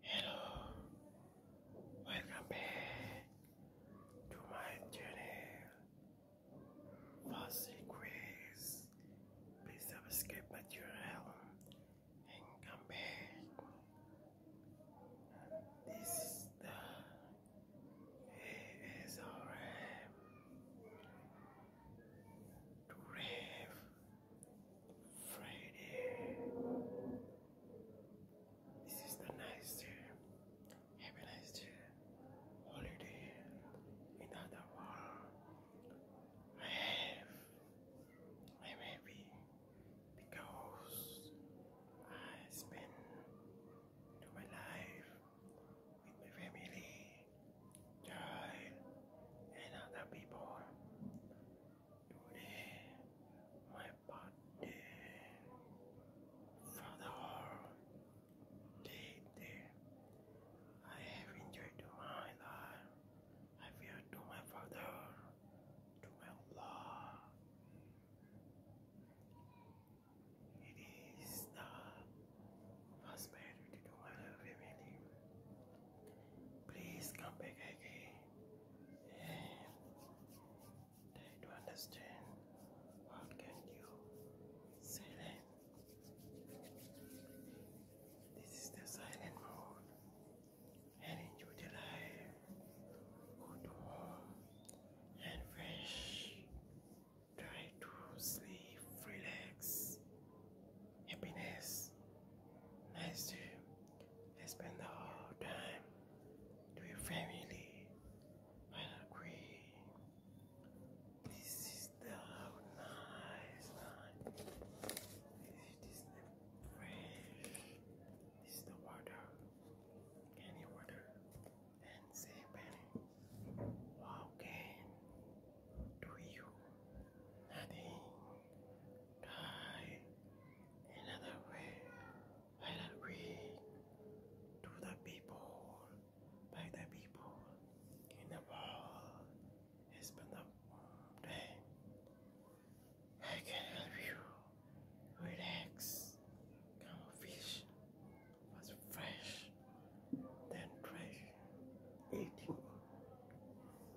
Hello, welcome back to my channel for secrets. Please subscribe my channel and come back. This is the ASRM to Friday. This is the nice day. Holiday in other world. I have. I'm happy because I spend my life with my family, child, and other people. Today, my birthday. Father, all I have enjoyed my life. I fear to my Father, to my Allah. It is the prosperity to my family. Please come back again. I don't understand what can you silent. This is the silent mode. enjoy the life. Good warm and fresh. Try to sleep, relax, happiness, nice dream. I spend the whole time with family and agree. This is the nice night. It is fresh. This is the water. Any water. And say Benny. How do you nothing? try another way. Why don't we do the people by the people in the world? It's been a warm day. I can help you relax. Come fish was fresh, then fresh eating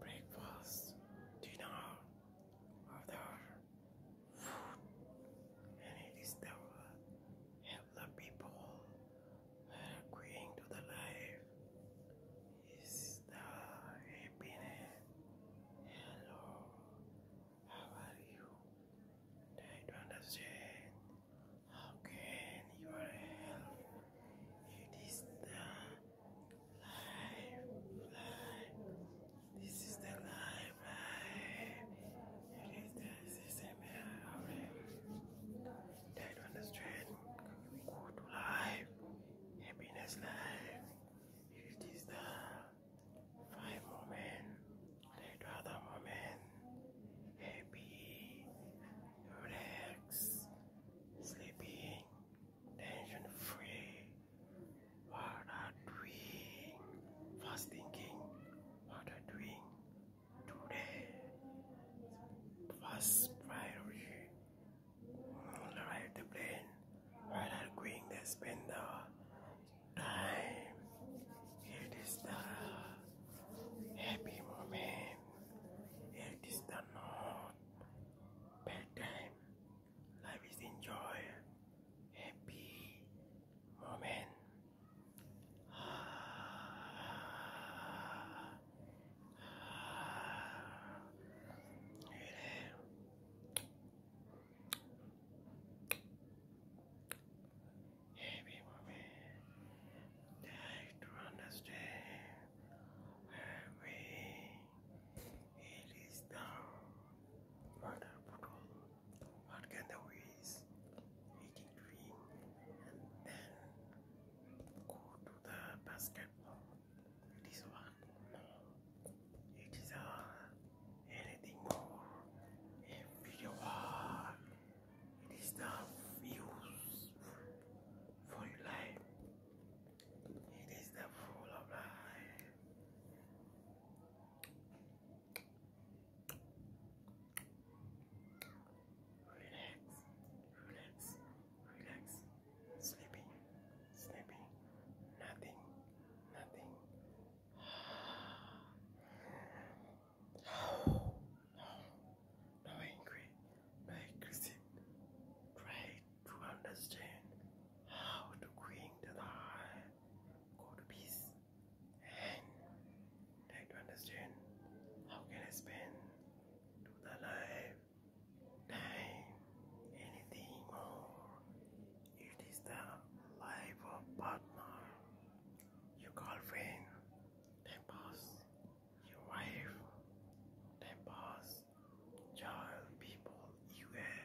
breakfast, dinner without food and it is the help the people that to the life is the happiness. Hello, how are you? Try to understand how can your health it is the life, life. This is the life, life. It is the system already. That on the good life, happiness life. It is the five moment, that other moment, happy, relax, sleeping tension free. What are doing? First thinking, what are doing today? First priority. Ride the plane. While I'm going there, spend the time. It is the happy moment. It is the not bad time life is enjoy happy moment Happy moment try to understand where it is down. Wonderful. What can the ways? Eating dream and go to the basketball. It is one. It is a anything more. A video It is the views for life. It is the rule of life. Relax, relax, relax. Sleepy, sleepy. Nothing, nothing. Oh, no, no angry, no aggressive. Great, to understand how to create the life peace and to understand how can I spend the life time anything more it is the life of partner your girlfriend time pass your wife time pass child people, you are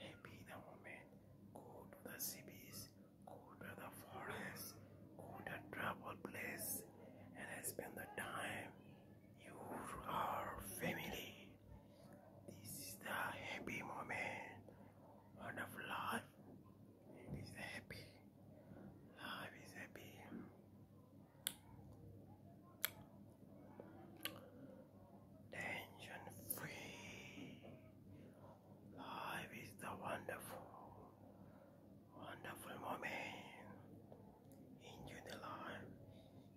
happy in the moment. Go to the cities, go to the forest, go to travel place and I spend the time. You are family. This is the happy moment. What of life? It is happy. Life is happy. Tension free. Life is the wonderful, wonderful moment. Enjoy the life.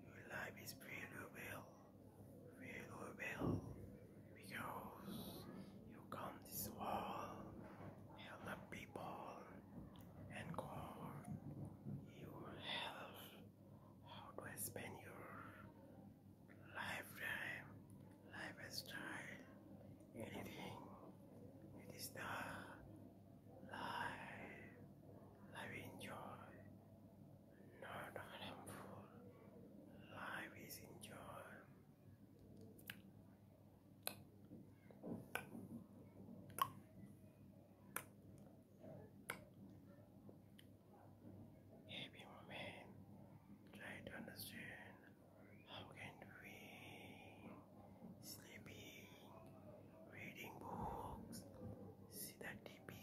Your life is very well, very well, because you come this help people, and God, your health how do I spend your lifetime, lifestyle, anything. It is the life, life enjoy, not harmful. Life is enjoy. Happy woman, try to understand how can we sleeping, reading books, see the TV,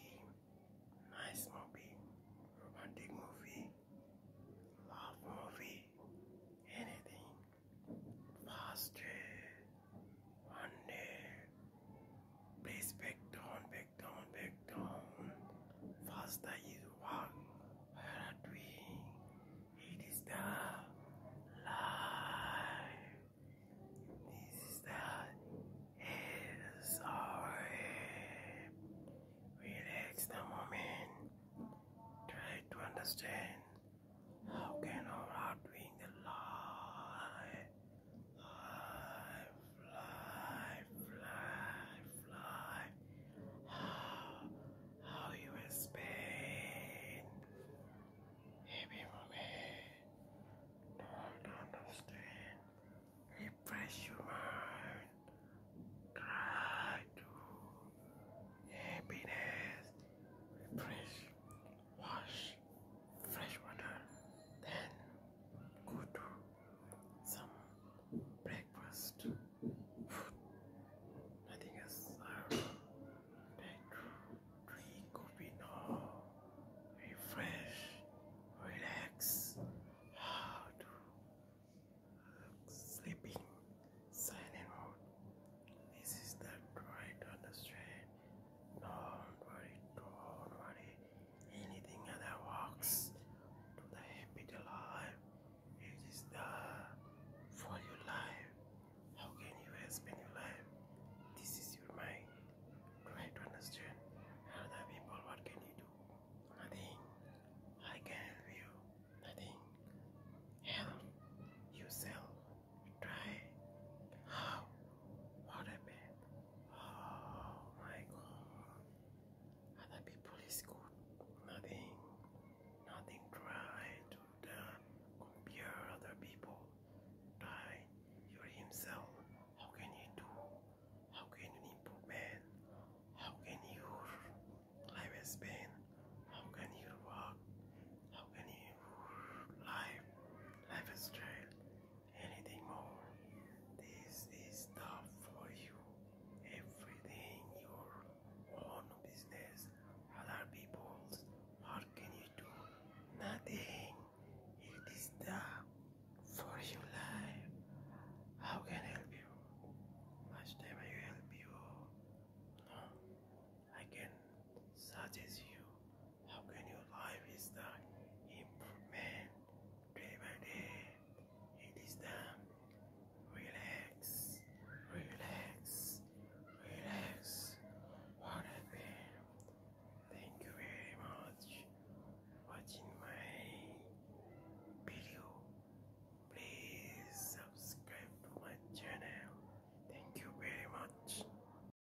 nice movie, romantic movie, love movie, anything, faster on there. Please back down, back down, back down. Faster is walk. Where are we? It is the life. This is the sorry. Relax the moment. Try to understand how can our doing the life. Fly, fly, fly, fly. How, how you in Spain? Heavy Don't understand. Refresh your mind. Try to happiness. Refresh wash fresh water, then go to some breakfast Nothing else served. Then drink coffee now. Refresh, relax. How to sleeping silent mode. This is the right understand don't don't worry, worry. anything that works to the happy life. is the for your life. How can you spend your life? This is your mind. Try to understand other people. What can you do? Nothing. I can help you. Nothing. Help yourself. Try how? What a bit. Oh my god. Other people is good. Nothing. Nothing try to the compare other people. Try you're himself. How can you do? How can you improvement? How can your life has been? How can you work? How can you life? Life is straight anything more. This is tough for you. Everything your own business, other people's. What can you do? Nothing. It is tough for your life. How can I help you? Last time I help you. No, I can suggest you how can your life is the improvement day by day? It is the relax, relax, relax. What a Thank you very much watching my video. Please subscribe to my channel. Thank you very much.